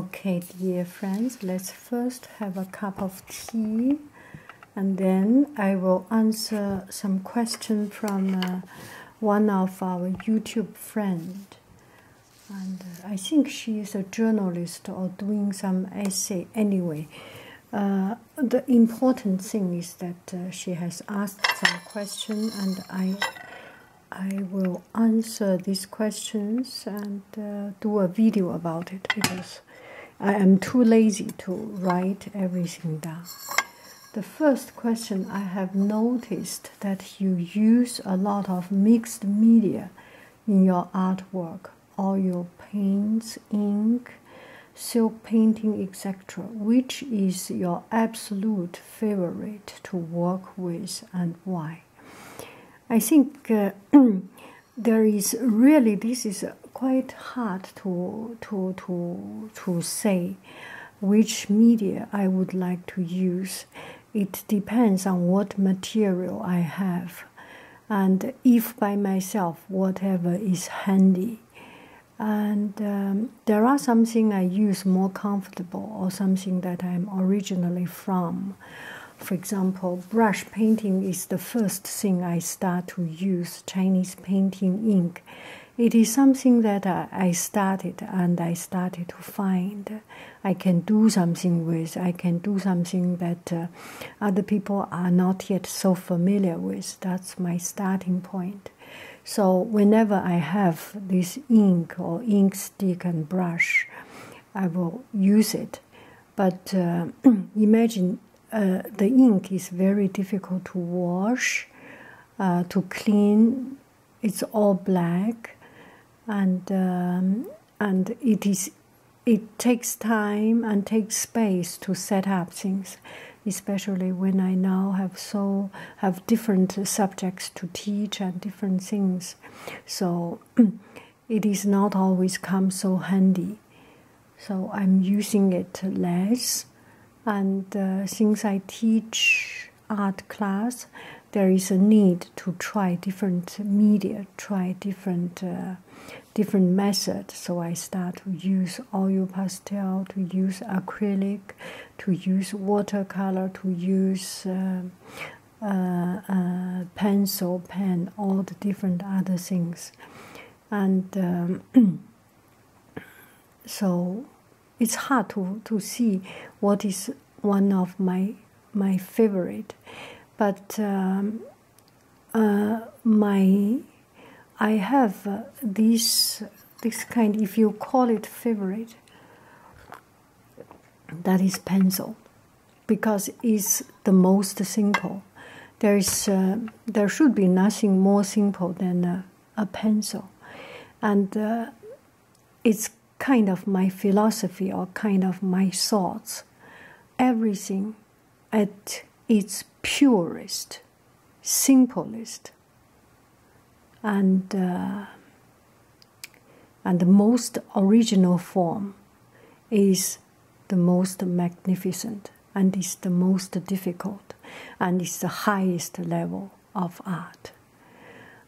Okay, dear friends, let's first have a cup of tea and then I will answer some question from uh, one of our YouTube friend. And uh, I think she is a journalist or doing some essay anyway. Uh, the important thing is that she has asked some question and I I will answer these questions and uh, do a video about it because I am too lazy to write everything down. The first question I have noticed that you use a lot of mixed media in your artwork, all your paints, ink, silk painting, etc. Which is your absolute favorite to work with and why? I think uh, there is really this is quite hard to to to to say which media I would like to use. It depends on what material I have, and if by myself whatever is handy. And um, there are something I use more comfortably or something that I'm originally from. For example, brush painting is the first thing I start to use Chinese painting ink. It is something that I started and I started to find I can do something with, I can do something that uh, other people are not yet so familiar with. That's my starting point. So whenever I have this ink or ink stick and brush, I will use it. But uh, imagine uh, the ink is very difficult to wash, uh, to clean. It's all black, and um, and it is it takes time and takes space to set up things, especially when I now have so have different subjects to teach and different things. So it is not always come so handy. So I'm using it less. And uh, since I teach art class, there is a need to try different media, try different uh, different methods. So I start to use oil pastel, to use acrylic, to use watercolor, to use uh, uh, uh, pencil, pen, all the different other things. And um, so it's hard to, to see what is one of my my favorite. But um, my I have uh, this this kind, if you call it favorite, that is pencil, because it's the most simple. There is uh, there should be nothing more simple than a, pencil, and uh, it's kind of my philosophy or kind of my thoughts. Everything at its purest, simplest, and uh, and the most original form is the most magnificent and is the most difficult and is the highest level of art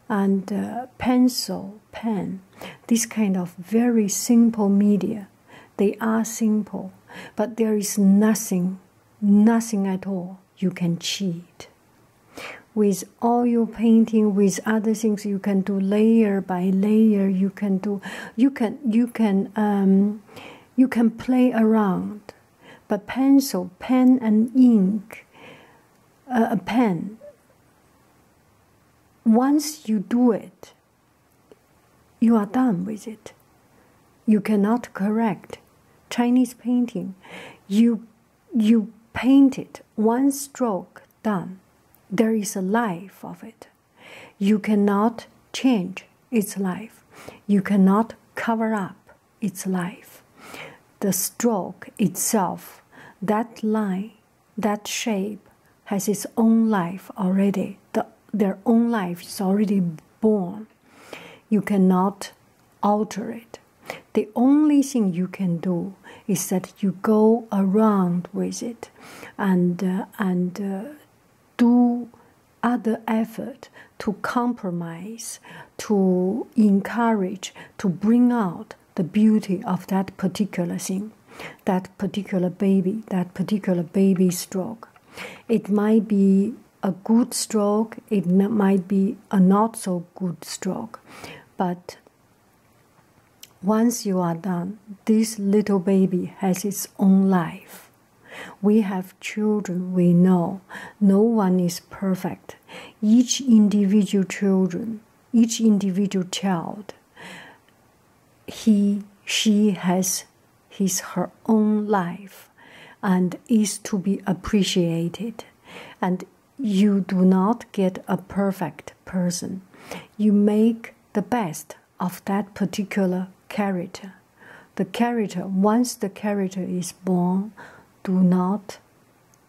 and uh, pencil pen this kind of very simple media they are simple but there is nothing nothing at all you can cheat. With all your painting, with other things, you can do layer by layer. You can do, you can, you can, um, you can play around. But pencil, pen, and ink, uh, a pen. Once you do it, you are done with it you cannot correct Chinese painting. You, you paint it one stroke done. There is a life of it. You cannot change its life. You cannot cover up its life. The stroke itself, that line, that shape, has its own life already. The, their own life is already born. You cannot alter it. The only thing you can do is that you go around with it and, uh, and uh, do other effort to compromise, to encourage, to bring out the beauty of that particular thing, that particular baby, that particular baby stroke. It might be a good stroke, it might be a not so good stroke. But once you are done, this little baby has its own life. We have children we know. No one is perfect. Each individual children, each individual child, he, she has is her own life and is to be appreciated and you do not get a perfect person you make the best of that particular character the character once the character is born do not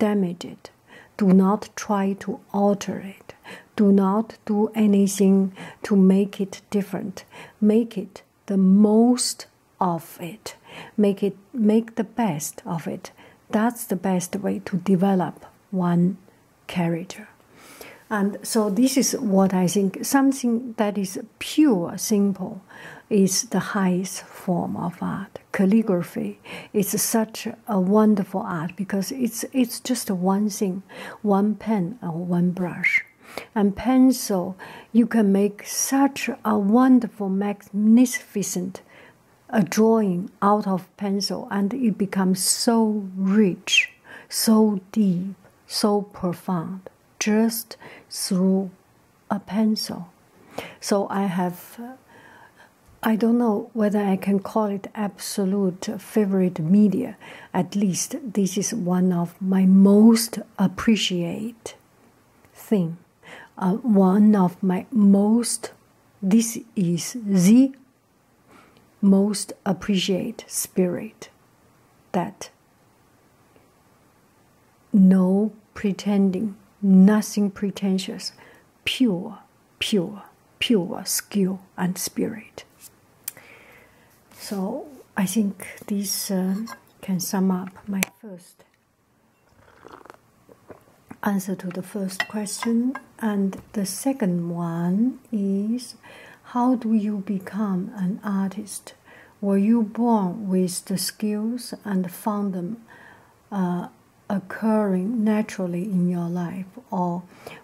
damage it do not try to alter it do not do anything to make it different make it the most of it make it make the best of it that's the best way to develop one character and so this is what i think something that is pure simple is the highest form of art calligraphy is such a wonderful art because it's it's just one thing one pen or one brush and pencil, you can make such a wonderful, magnificent a uh, drawing out of pencil, and it becomes so rich, so deep, so profound, just through a pencil. So I have. I don't know whether I can call it absolute favorite media. At least this is one of my most appreciate thing, uh, one of my most. This is the most appreciate spirit that no pretending, nothing pretentious, pure, pure, pure skill and spirit. So I think this um, can sum up my first answer to the first question. And the second one is how do you become an artist? Were you born with the skills and found them uh, occurring naturally in your life, or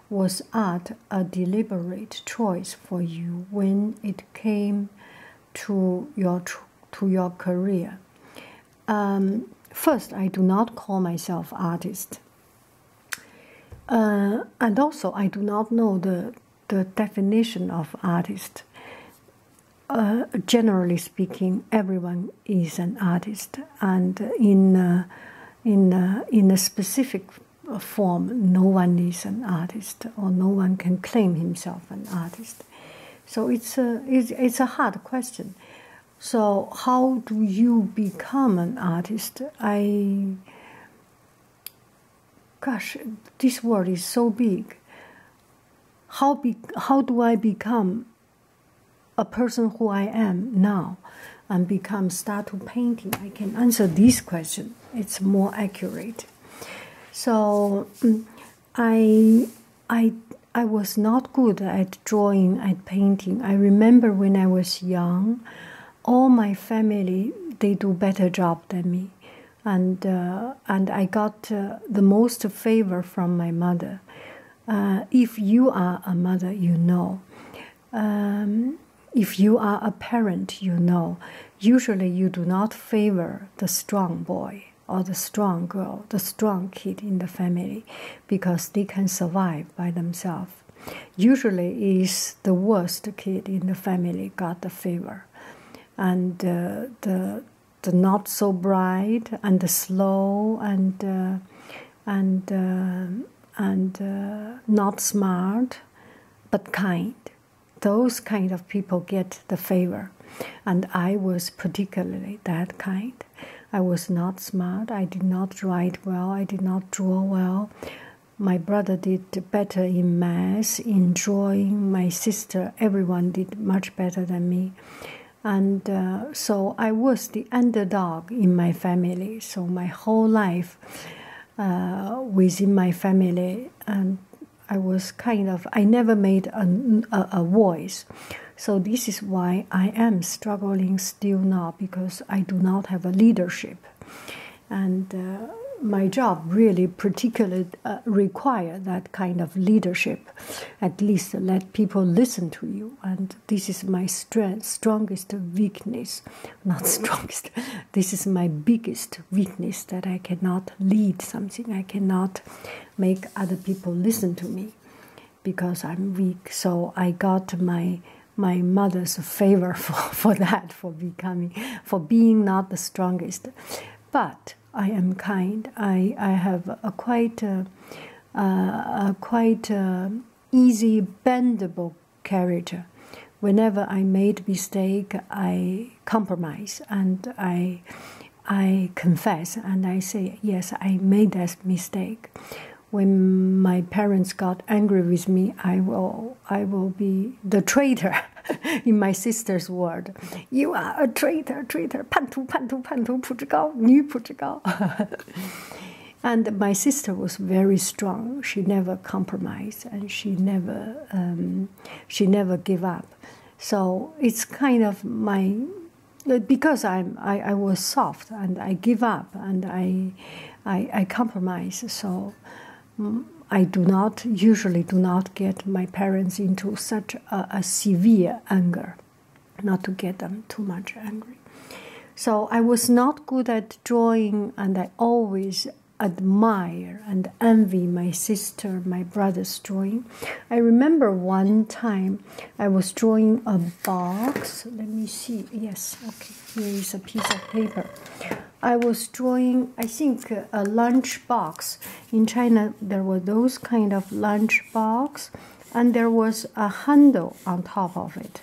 was art a deliberate choice for you when it came to your to your career. Um, first, I do not call myself artist, uh, and also I do not know the the definition of artist. Uh, generally speaking, everyone is an artist, and in uh, in in a specific form, no one is an artist, or no one can claim himself an artist. So it's a it's, a hard question. So how do you become an artist? I gosh, this world is so big. How be, how do I become a person who I am now and become start to painting? I can answer these questions. It's more accurate. So mm, I I I was not good at drawing at painting. I remember when I was young, all my family they do better job than me, and uh, and I got uh, the most favor from my mother. Uh, if you are a mother, you know. Um, if you are a parent, you know, usually you do not favor the strong boy or the strong girl, the strong kid in the family, because they can survive by themselves. Usually, is the worst kid in the family got the favor, and uh, the the not so bright and the slow and uh, and uh, and not smart but kind. Those kind of people get the favor. And I was particularly that kind. I was not smart. I did not write well. I did not draw well. My brother did better in math, in drawing. My sister, everyone did much better than me. And uh, so I was the underdog in my family. So my whole life, uh, within my family, and I was kind of I never made a, a, voice, so this is why I am struggling still now because I do not have a leadership, and uh, my job really particularly uh, require that kind of leadership, at least let people listen to you, and this is my strength, strongest weakness, not strongest, this is my biggest weakness that I cannot lead something, I cannot make other people listen to me because I'm weak. So I got my my mother's favor for, for that, for becoming for being not the strongest. But I am kind. I, I have a quite uh, uh, a, quite uh, easy bendable character. Whenever I made mistake, I compromise and I I confess and I say yes, I made that mistake. When my parents got angry with me, I will I will be the traitor in my sister's word. You are a traitor, traitor, 叛徒，叛徒，叛徒，不知高，女不知高。And my sister was very strong. She never compromised, and she never um, she never give up. So it's kind of my because I'm I, was soft and I give up and I I, compromise. So. Mm, I do not usually do not get my parents into such a severe anger, not to get them too much angry. So I was not good at drawing, and I always admire and envy my sister, my brother's drawing. I remember one time I was drawing a box. Let me see. Yes, okay. Here is a piece of paper. I was drawing, I think, a lunch box. In China, there were those kind of lunch box, and there was a handle on top of it.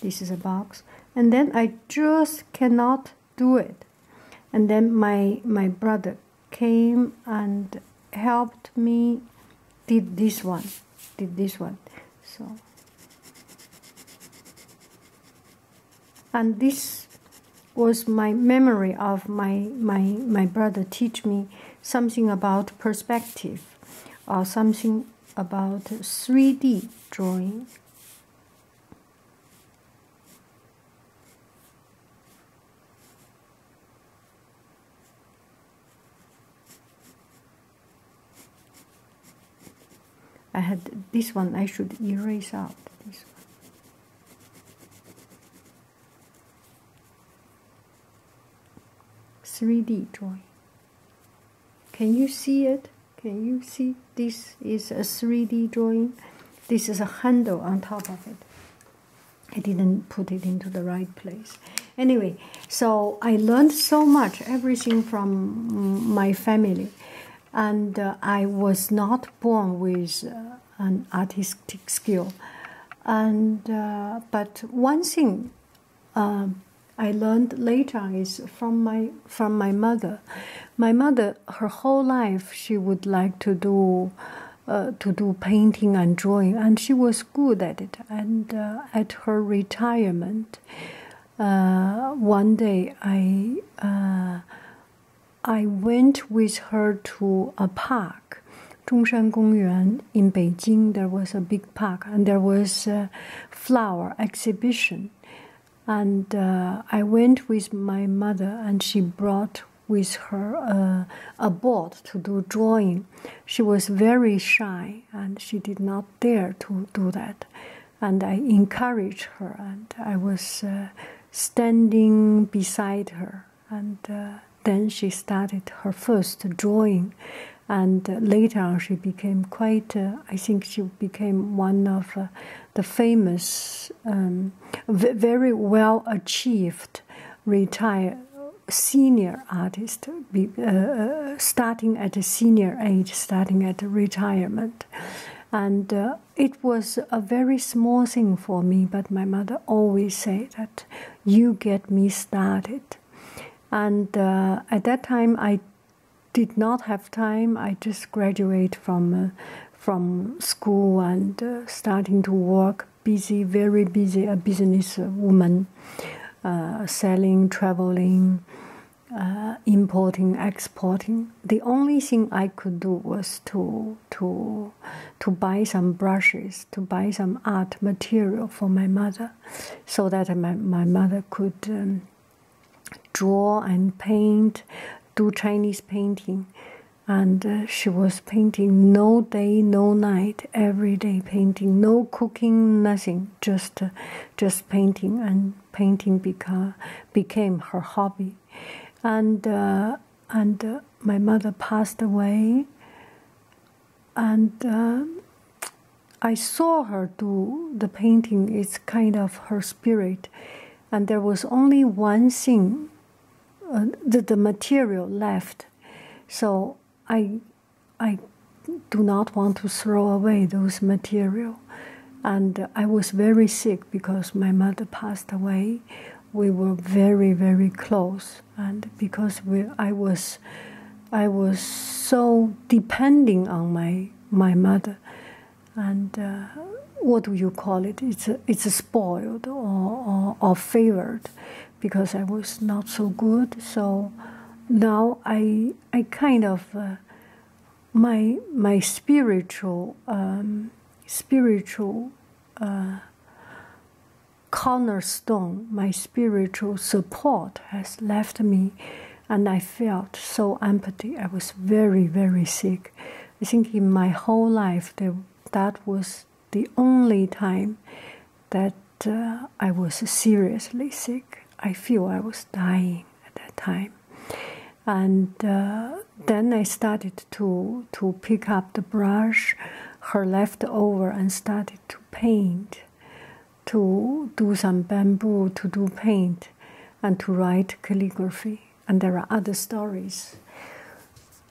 This is a box and then I just cannot do it. And then my my brother came and helped me did this one did this one so and this was my memory of my my my brother teach me something about perspective or something about 3D drawing. I had this one I should erase out this one. Three D drawing. Can you see it? Can you see? This is a 3D drawing. This is a handle on top of it. I didn't put it into the right place. Anyway, so I learned so much, everything from my family. And uh, I was not born with uh, an artistic skill. And uh, but one thing um, I learned later is from my from my mother. My mother, her whole life, she would like to do uh, to do painting and drawing, and she was good at it. And uh, at her retirement, uh, one day I I went with her to a park, Zhongshan Gongyuan in Beijing, there was a big park and there was a flower exhibition. And uh, I went with my mother, and she brought with her uh, a board to do drawing. She was very shy and she did not dare to do that. And I encouraged her, and I was uh, standing beside her. And then she started her first drawing and later on she became quite uh, i think she became one of uh, the famous um, very well achieved retired senior artist uh, starting at a senior age starting at retirement and it was a very small thing for me but my mother always said that you get me started and uh, at that time, I did not have time. I just graduated from, uh, from school and uh, starting to work. Busy, very busy, a business woman, selling, traveling, importing, exporting. The only thing I could do was to to to buy some brushes, to buy some art material for my mother so that my, my mother could um, draw and paint, do Chinese painting. And uh, she was painting no day, no night, every day painting, no cooking, nothing, just, uh, just painting. And painting beca- became her hobby. And, uh, and my mother passed away and um, I saw her do the painting. It's kind of her spirit, and there was only one thing, uh, the, the material left. So I, I do not want to throw away those material. And I was very sick because my mother passed away. We were very, very close and because I was, I was so depending on my my mother, and uh, what do you call it? It's it's spoiled or, or favored, because I was not so good. So now I I kind of uh, my my spiritual um, spiritual. Uh, cornerstone, my spiritual support has left me, and I felt so empty. I was very, very sick. I think in my whole life, that that was the only time that uh, I was seriously sick. I feel I was dying at that time. And uh, then I started to, to pick up the brush, her left over, and started to paint, to do some bamboo, to do paint, and to write calligraphy. And there are other stories.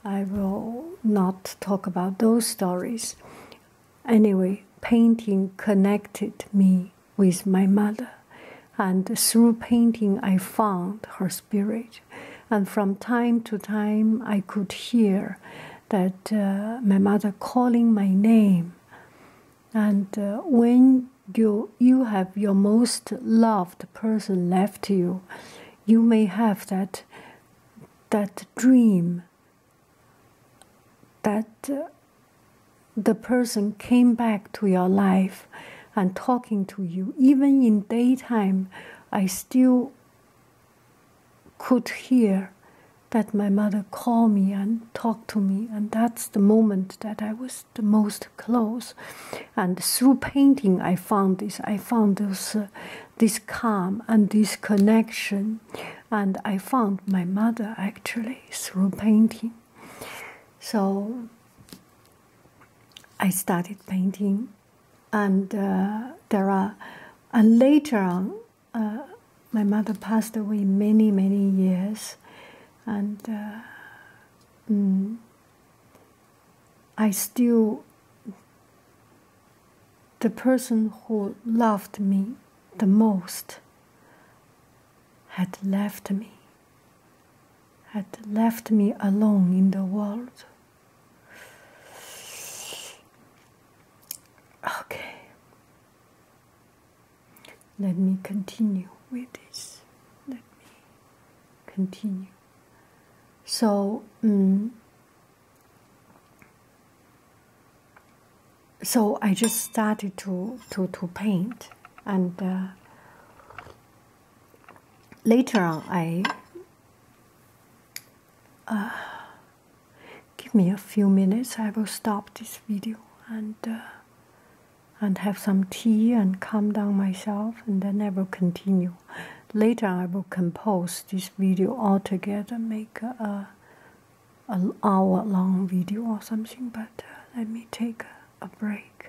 I will not talk about those stories. Anyway, painting connected me with my mother, and through painting, I found her spirit. And from time to time, I could hear that uh, my mother calling my name and uh, when you you have your most loved person left you you may have that that dream that uh, the person came back to your life and talking to you even in daytime i still could hear that my mother call me and talk to me, and that's the moment that I was the most close. And through painting, I found this. I found this, uh, this calm and this connection, and I found my mother actually through painting. So I started painting and uh, there are, and later on, uh, my mother passed away many, many years, and uh, mm, I still, the person who loved me the most had left me, had left me alone in the world. Okay, let me continue with this. Let me continue. So, mm, so I just started to to to paint, and uh, later on I uh, give me a few minutes. I will stop this video and uh, and have some tea and calm down myself, and then I will continue. Later, I will compose this video altogether, make a, an hour long video or something. But uh, let me take a break.